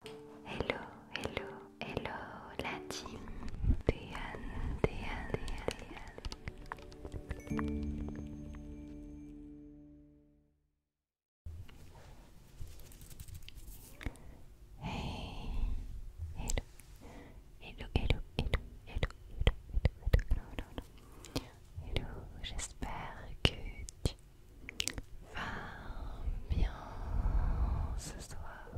Hello, hello, hello, la team Hey, hello, hello, hello, hello, hello, hello, hello, hello, hello, hello. j'espère que tu va bien ce soir.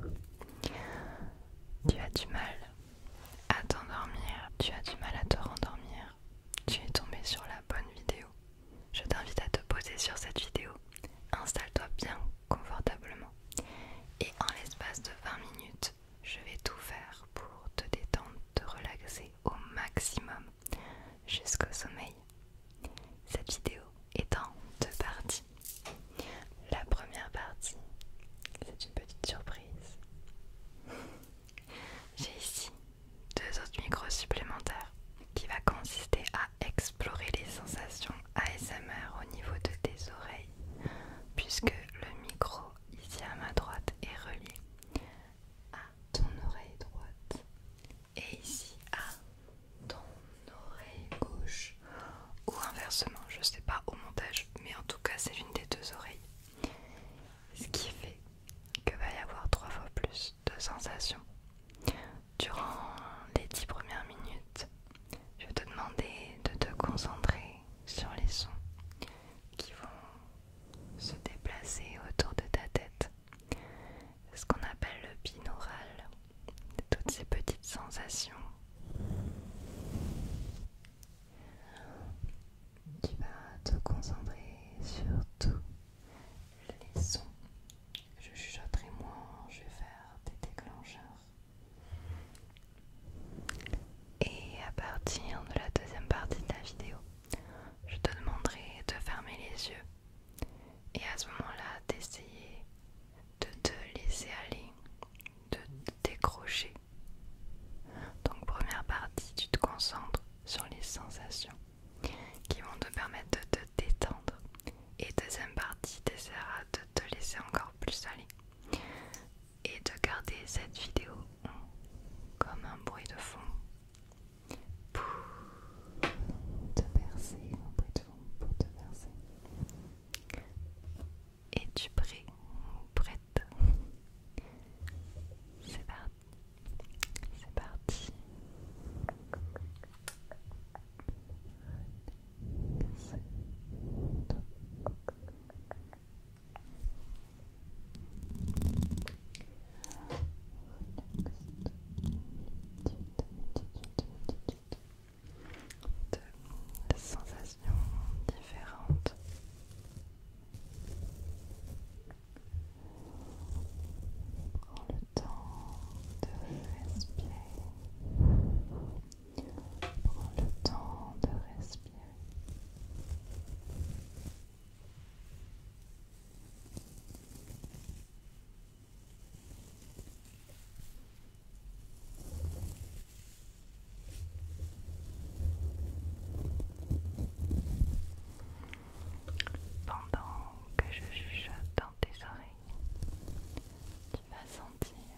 Tu as du mal à t'endormir, tu as du mal à te rendormir. Tu es tombé sur la bonne vidéo. Je t'invite à te poser sur cette vidéo. Installe-toi bien confortablement. Et en l'espace de 20 minutes, je vais tout faire pour te détendre, te relaxer au maximum jusqu'au sommeil. Cette vidéo est en deux parties. La première partie, c'est une petite surprise. J'ai ici deux autres micros supplémentaires qui va consister à explorer les sensations ASMR au niveau de tes oreilles puisque le micro ici à ma droite est relié à ton oreille droite et ici à ton oreille gauche ou inversement, je sais pas au montage, mais en tout cas c'est l'une des deux oreilles. Ce qui fait que va y avoir trois fois plus de sensations. Durant les dix premières minutes, je vais te demander de te concentrer sur les sons qui vont se déplacer autour de ta tête ce qu'on appelle le binaural, toutes ces petites sensations tu vas te concentrer sur tous les sons je chuchoterai moins, je vais faire des déclencheurs et à partir de la deuxième partie de la vidéo je te demanderai de fermer les yeux et à ce moment-là d'essayer de te laisser aller, de te décrocher. Donc première partie, tu te concentres sur les sensations qui vont te permettre de te détendre. Et deuxième partie, tu essaieras de te laisser encore plus aller et de garder cette vidéo comme un bruit de fond pour te verser auprès de pour te verser. Et tu prêt prête C'est parti, c'est parti de sensations différentes. Prends le temps de respirer. Prends le temps de respirer. Pendant que je juge dans tes oreilles, tu vas sentir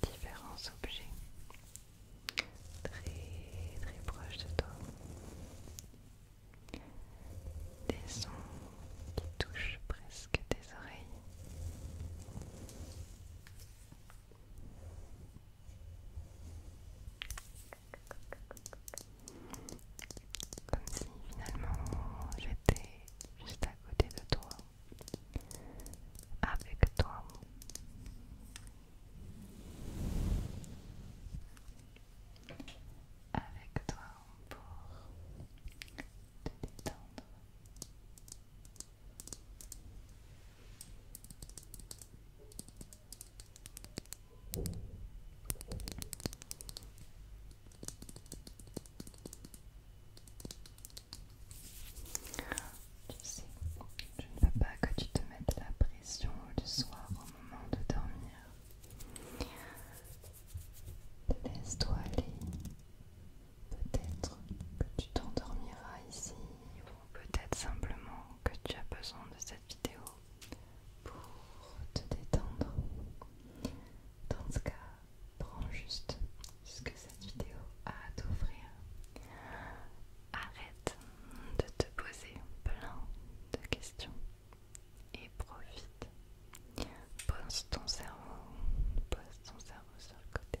différents objets très très proches de toi des sons qui touchent presque tes oreilles. Comme si finalement j'étais juste à côté de toi, avec toi avec toi pour te détendre. Tu sais, je ne veux pas que tu te mettes la pression le soir au moment de dormir. Laisse-toi aller. Peut-être que tu t'endormiras ici ou peut-être simplement que tu as besoin de cette vidéo pour te détendre. Dans ce cas, prends juste ce que cette vidéo a à t'offrir. Arrête de te poser plein de questions et profite. Pose ton cerveau, pose ton cerveau sur le côté.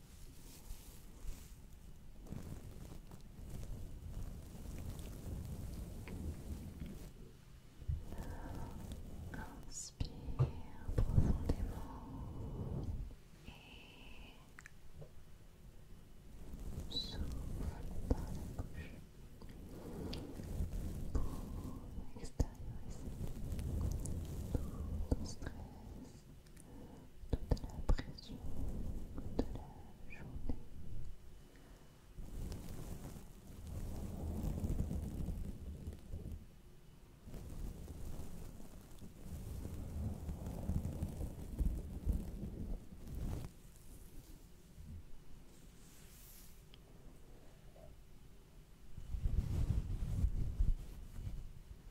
Inspire profondément et souffle par la bouche pour extérioriser tout ton stress toute la pression de la journée. C'est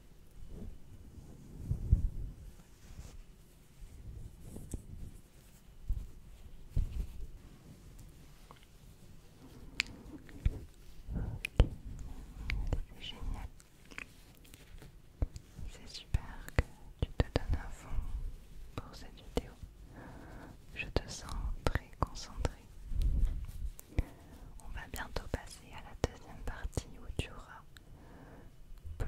génial. C'est super que tu te donnes un fond pour cette vidéo. Je te sens très concentré. On va bientôt passer à la deuxième partie où tu auras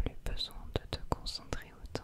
plus besoin de te concentrer autant.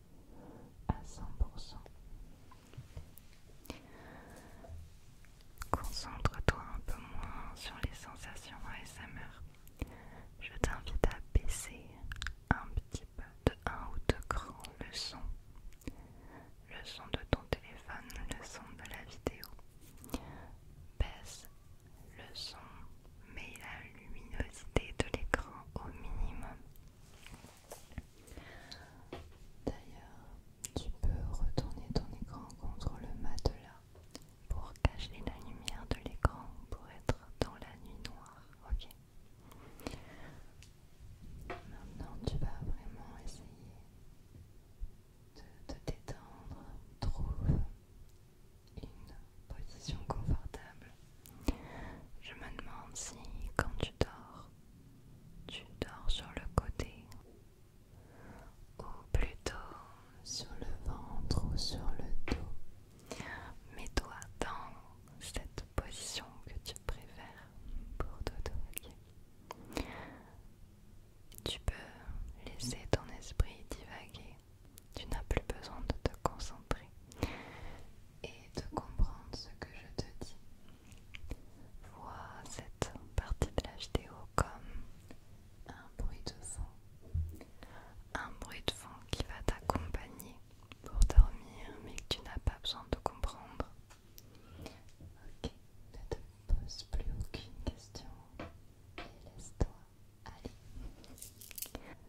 à 100%. Concentre-toi un peu moins sur les sensations ASMR. Je t'invite à baisser un petit peu de 1 ou 2 le son. Le son de ton téléphone, le son de la vidéo. Baisse le son, mais la luminosité de l'écran au minimum. D'ailleurs, tu peux retourner ton écran contre le matelas pour cacher la lumière de l'écran pour être dans la nuit noire, ok Maintenant, tu vas vraiment essayer de te détendre. Trouve une position confortable je me demande si quand tu dors, tu dors sur le côté ou plutôt sur le ventre ou sur le dos. Mets-toi dans cette position que tu préfères pour dodo. Tu peux laisser ton esprit divaguer tu n'as plus besoin de te concentrer et de comprendre ce que je te dis. Vois cette partie de la vidéo comme un bruit de fond. Un bruit de fond qui va t'accompagner pour dormir mais que tu n'as pas besoin de comprendre. Ok, ne te pose plus aucune question et laisse-toi aller.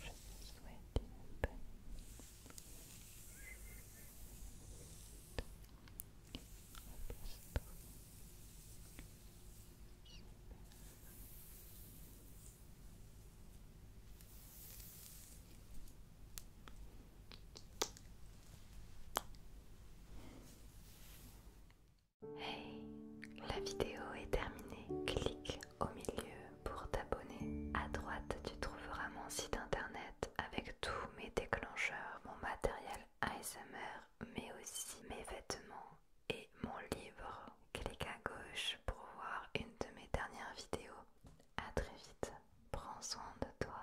Je te souhaite une bonne Hey, la vidéo est terminée. Clique au milieu pour t'abonner. À droite, tu trouveras mon site internet avec tous mes déclencheurs, mon matériel ASMR, mais aussi mes vêtements et mon livre. Clique à gauche pour voir une de mes dernières vidéos. A très vite, prends soin de toi.